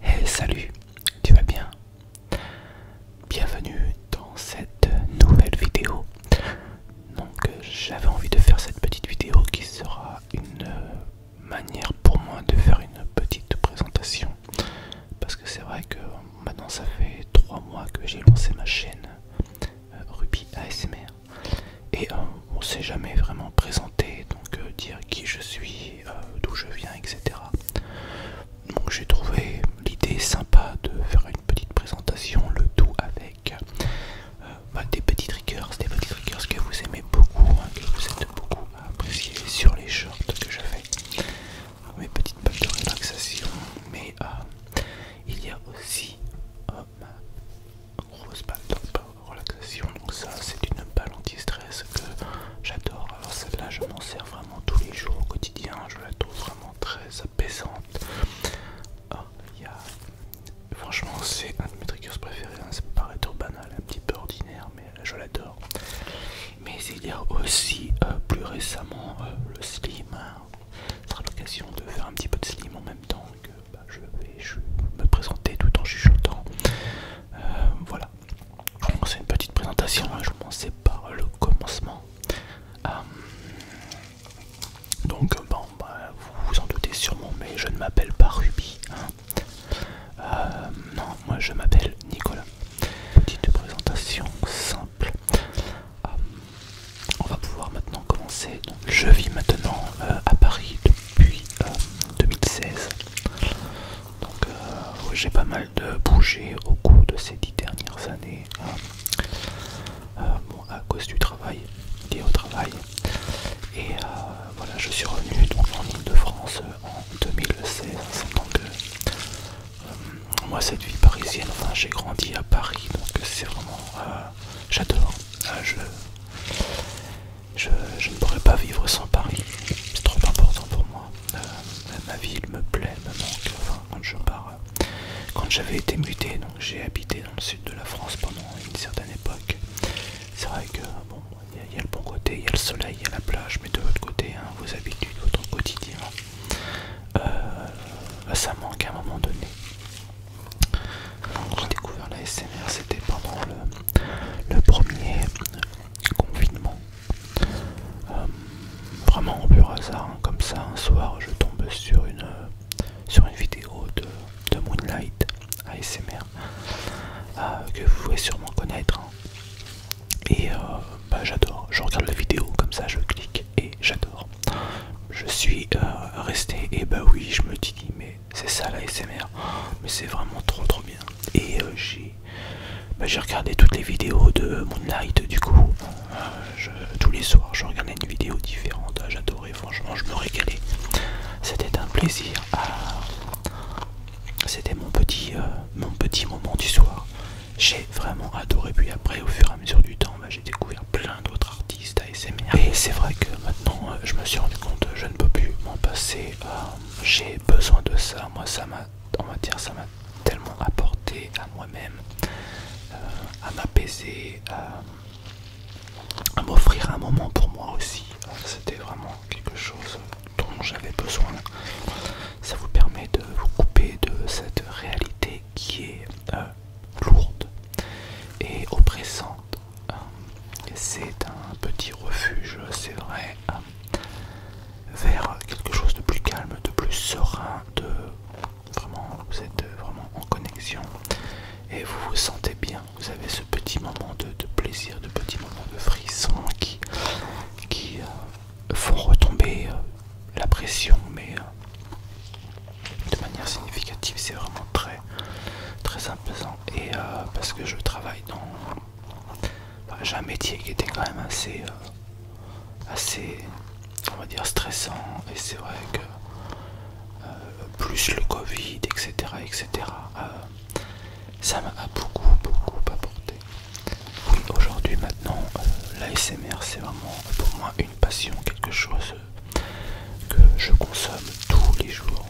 Hey eh, salut, tu vas bien Bienvenue dans cette nouvelle vidéo donc euh, j'avais envie de faire cette petite vidéo qui sera une euh, manière pour moi de faire une petite présentation. Parce que c'est vrai que maintenant ça fait 3 mois que j'ai lancé ma chaîne euh, Ruby ASMR. Et on ne s'est jamais vraiment présenté, donc dire qui je suis, d'où je viens, etc. Donc j'ai trouvé l'idée sympa de faire une petite présentation, le tout avec euh, bah, des petits triggers, des que vous aimez beaucoup, hein, que vous êtes beaucoup apprécier sur les shorts que je fais, mes petites balles de relaxation, mais euh, il y a aussi une euh, ma grosse balle de relaxation, donc ça c'est une balle anti-stress que j'adore, alors celle-là je m'en sers vraiment tous les jours au quotidien, je la trouve vraiment très apaisante. Franchement, c'est un de mes trucs préférés. Hein. Ça peut paraître banal, un petit peu ordinaire, mais euh, je l'adore. Mais il y a aussi euh, plus récemment euh, le slim. Ça hein. sera l'occasion de faire un petit peu de slim en même temps que bah, je vais me présenter tout en chuchotant. Voilà. voilà. C'est une petite présentation. Hein. Je commence par le commencement. Donc bon, bah, vous vous en doutez sûrement, mais je ne m'appelle pas Ruby. Hein. Euh, non, moi je m'appelle Nicolas. Petite présentation simple. Euh, on va pouvoir maintenant commencer. je vis maintenant euh, à Paris depuis 2016. Donc j'ai pas mal de bougé au cours de ces dix dernières années. Hein. Euh, à cause du travail, lié au travail. Et euh, voilà, je suis revenu donc, en Ile-de-France euh, en 2016. Donc, moi, cette vie parisienne, j'ai grandi à Paris, donc c'est vraiment. J'adore. je, je, ne pourrais pas vivre sans Paris. C'est trop important pour moi. ma ville me plaît, me manque. Enfin, quand je pars quand j'avais été muté, donc j'ai habité dans le sud de la France pendant une certaine époque. C'est vrai que il y, a le bon côté, il y a le soleil, il y a la plage, mais de l'autre côté, hein, vos habitudes, votre quotidien, euh, ça manque à un moment donné. J'ai découvert la SMR, c'était pendant le premier confinement euh, vraiment au pur hasard, hein. comme ça, un soir, je tombe sur une, euh, sur une vidéo de, Moonlight ASMR euh, que vous pouvez sûrement connaître. Hein. Et bah, j'adore, je regarde la vidéo, comme ça je clique et j'adore. Je suis resté et bah oui, je me dis, mais c'est ça l'ASMR, mais c'est vraiment trop trop bien. Et j'ai bah, j'ai regardé toutes les vidéos de Moonlight du coup. Euh, tous les soirs, je regardais une vidéo différente. Ah, j'adorais, franchement, je me régalais. C'était un plaisir. C'était mon, petit, euh, mon petit moment du soir. J'ai vraiment adoré. Puis après, au fur et à mesure du temps, bah, j'ai découvert plein d'autres artistes ASMR. Et c'est vrai que maintenant, euh, je me suis rendu compte, je ne peux plus m'en passer. j'ai besoin de ça. Moi, ça m'a en matière, ça m'a tellement apporté à moi-même, euh, à m'apaiser, à, m'offrir un moment pour moi aussi. Euh, c'était vraiment quelque chose dont j'avais besoin. Ça vous permet de vous couper de cette réalité qui est euh, lourde et oppressante. C'est un petit refuge, c'est vrai vers quelque chose de plus calme, de plus serein, de vraiment vous êtes vraiment en connexion et vous vous sentez bien. Vous avez ce petit moment de, plaisir, de petit moment de frisson qui, euh, font retomber euh, la pression, mais euh, de manière significative. C'est vraiment très très imposant et parce que je travaille dans j'ai un métier qui était quand même assez, euh, assez, on va dire stressant. Et c'est vrai que euh, plus le Covid, etc., euh, ça m'a beaucoup, beaucoup apporté. Oui, aujourd'hui, maintenant, l'ASMR, c'est vraiment pour moi une passion, quelque chose que je consomme tous les jours.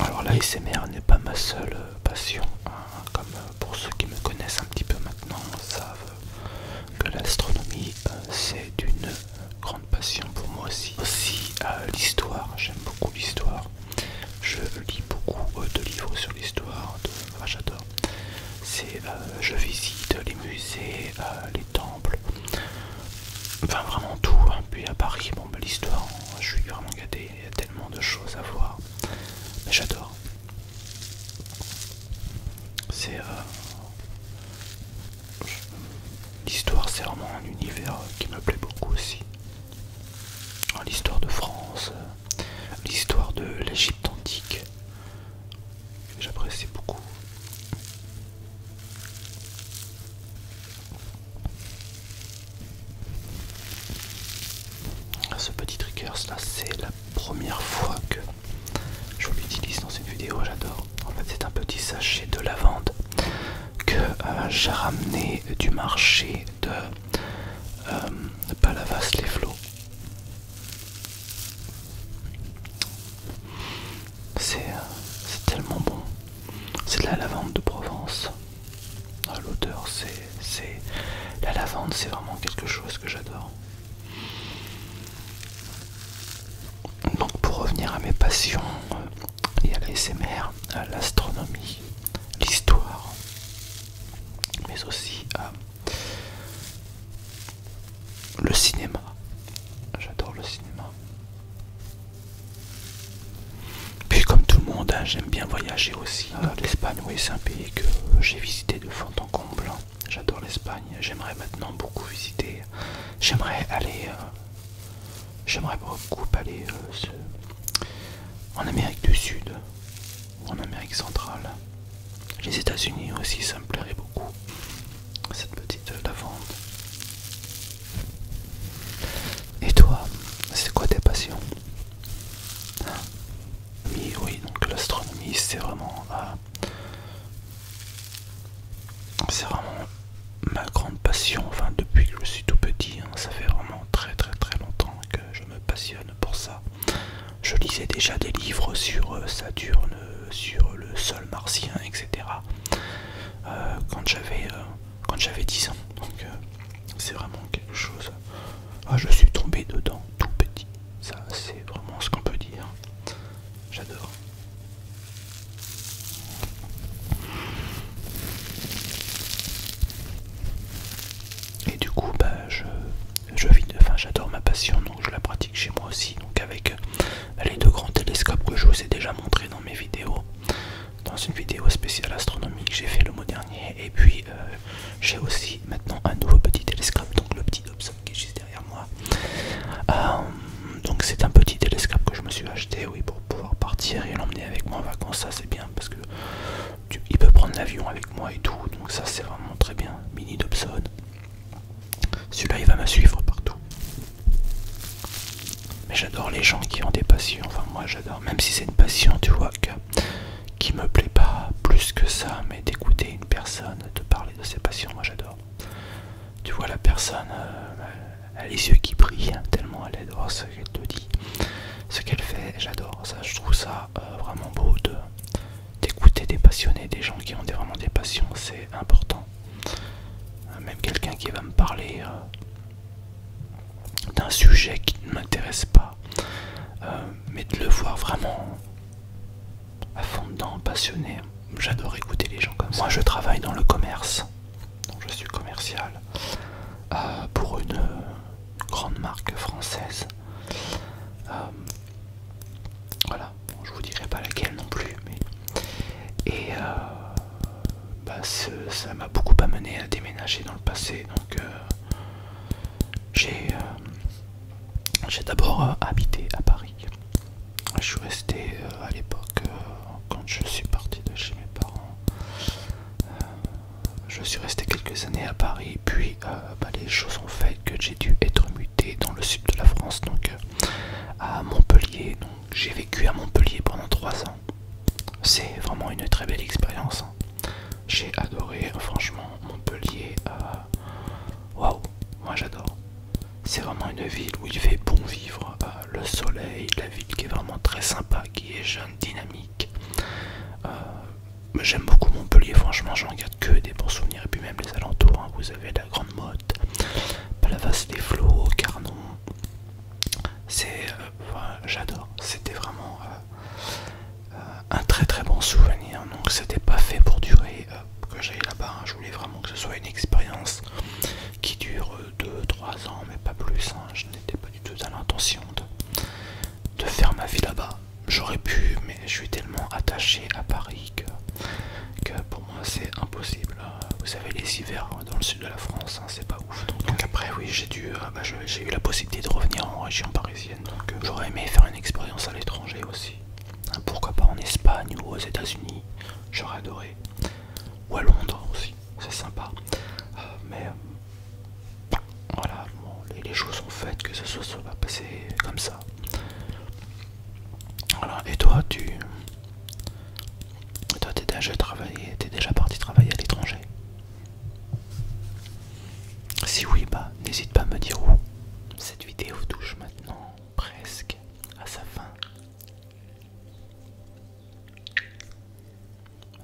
alors l'ASMR n'est pas ma seule passion. Hein, comme pour ceux qui me connaissent un petit peu maintenant savent que l'astronomie euh, c'est une grande passion pour moi aussi. Aussi l'histoire, j'aime beaucoup l'histoire. Je lis beaucoup euh, de livres sur l'histoire, j'adore. C'est euh, je visite les musées, les temples, enfin vraiment tout. Hein. Puis à Paris, bon bah, l'histoire, je suis vraiment gâté, il y a tellement de choses à voir. Mais j'adore. C'est. Euh, l'histoire, c'est vraiment un univers qui me plaît beaucoup aussi. Hein, l'histoire de France, euh, l'histoire de l'Egypte antique, j'apprécie beaucoup. Ce petit triggers là, c'est la première fois que je l'utilise dans une vidéo, j'adore. En fait, c'est un petit sachet de lavande que euh, j'ai ramené du marché de euh, Palavas les Flots. Euh, c'est tellement bon. C'est de la lavande de Provence. Ah, l'odeur, c'est. La lavande, c'est vraiment quelque chose que j'adore. Donc, pour revenir à mes passions, et euh, à a à euh, l'astronomie, l'histoire, mais aussi à euh, le cinéma. J'adore le cinéma. Puis comme tout le monde, hein, j'aime bien voyager aussi. Ah, L'Espagne, oui, c'est un pays que j'ai visité de fond en comble. J'adore l'Espagne. J'aimerais maintenant beaucoup visiter. J'aimerais aller... Euh, j'aimerais beaucoup aller euh, en Amérique du Sud ou en Amérique centrale. Les États-Unis aussi, ça me plairait beaucoup. Cette petite euh, lavande. Et toi, c'est quoi tes passions Oui, donc l'astronomie, c'est vraiment... Euh, vraiment ma grande passion, enfin depuis que je suis tout petit, hein, ça fait vraiment très très très longtemps que je me passionne pour ça. Je lisais déjà des livres sur euh, Saturne, euh, sur le sol martien, etc. quand j'avais quand j'avais 10 ans. Donc euh, c'est vraiment quelque chose. Ah, je suis tombé dedans tout petit. Ça, c'est vraiment ce qu'on peut dire. J'adore. Et du coup, bah, je, je enfin, j'adore ma passion, donc je la pratique chez moi aussi. Donc avec euh, les deux grands télescopes que je vous ai déjà montré dans mes vidéos, dans une vidéo spéciale astronomique, j'ai fait le mois dernier. Et puis euh, j'ai aussi maintenant un nouveau petit télescope, donc le petit Dobson qui est juste derrière moi. Euh, donc c'est un petit télescope que je me suis acheté, oui, pour pouvoir partir et l'emmener avec moi en vacances. Ça c'est bien parce que il peut prendre l'avion avec moi et tout. Donc ça c'est vraiment très bien. Mini Dobson. Celui-là il va me suivre partout. Mais j'adore les gens qui ont des passions, enfin moi j'adore, même si c'est une passion, tu vois, qui me plaît pas plus que ça, mais d'écouter une personne, de parler de ses passions, moi j'adore. Tu vois la personne, euh, elle a les yeux qui brillent, hein, tellement elle adore ce qu'elle te dit, ce qu'elle fait, j'adore ça, je trouve ça euh, vraiment beau de d'écouter des passionnés, des gens qui ont vraiment des passions, c'est important. Euh, même quelqu'un qui va me parler euh, d'un sujet qui ne m'intéresse pas, euh, mais de le voir vraiment à fond dedans, passionné. J'adore écouter les gens comme ça. Moi, je travaille dans le commerce, je suis commercial pour une grande marque française. voilà, je vous dirai pas laquelle non plus, mais et bah, ça m'a beaucoup amené à déménager dans le passé. Donc, euh, euh, j'ai d'abord euh, habité à Paris. Je suis resté à l'époque, quand je suis parti de chez mes parents, je suis resté quelques années à Paris. Puis, bah, les choses ont fait que j'ai dû être muté dans le sud de la France, donc à Montpellier. J'ai vécu à Montpellier pendant 3 ans. C'est vraiment une très belle expérience. J'ai adoré, franchement, Montpellier. Euh, waouh, moi j'adore. C'est vraiment une ville où il fait bon vivre. Euh, le soleil, la ville qui est vraiment très sympa, qui est jeune, dynamique. Euh, j'aime beaucoup Montpellier, franchement, j'en garde que des bons souvenirs. Et puis même les alentours, hein, vous avez la Grande mode, Palavas des flots, Carnon. C'est, euh, j'adore. C'était vraiment euh, euh, un très très bon souvenir. Donc c'était pas fait pour durer que j'aille là-bas. Hein. Je voulais vraiment que ce soit une expérience qui dure 2-3 ans, mais pas plus. Hein. Je n'étais pas du tout à l'intention de, faire ma vie là-bas. J'aurais pu, mais je suis tellement attaché à Paris que, que c'est impossible. Vous savez les hivers hein, dans le sud de la France, hein, c'est pas ouf. Donc, après oui j'ai dû, euh, bah, j'ai eu la possibilité de revenir en région parisienne. Donc euh, j'aurais aimé faire une expérience à l'étranger aussi. Hein, pourquoi pas en Espagne ou aux États-Unis, j'aurais adoré. Ou à Londres aussi, c'est sympa. Euh, mais voilà, les, choses sont faites que ce soit, passé va comme ça. Et toi, tu. toi, t'es déjà travaillé, t'es déjà parti travailler à l'étranger Si oui, bah, n'hésite pas à me dire où. Cette vidéo touche maintenant presque à sa fin.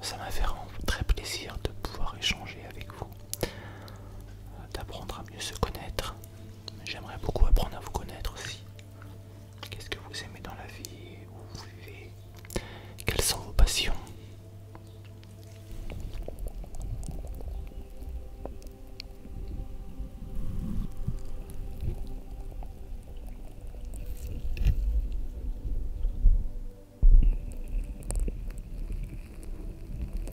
Ça m'a fait très plaisir de pouvoir échanger avec vous, euh, d'apprendre à mieux se connaître J'aimerais beaucoup apprendre à vous connaître aussi. Qu'est-ce que vous aimez dans la vie Où vous vivez Quelles sont vos passions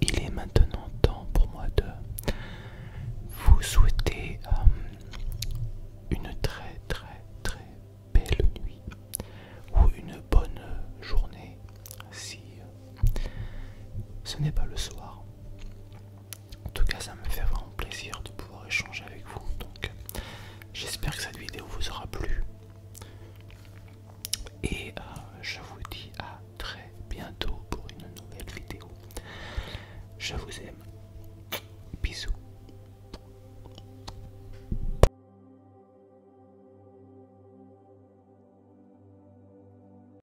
Il est maintenant temps pour moi de vous souhaiter euh, une très très très belle nuit ou une bonne journée si ce n'est pas le soir. En tout cas, ça me fait vraiment plaisir de pouvoir échanger avec vous. Donc, j'espère que cette vidéo vous aura plu. Et euh, je vous dis à très bientôt pour une nouvelle vidéo. Je vous aime. Bisous.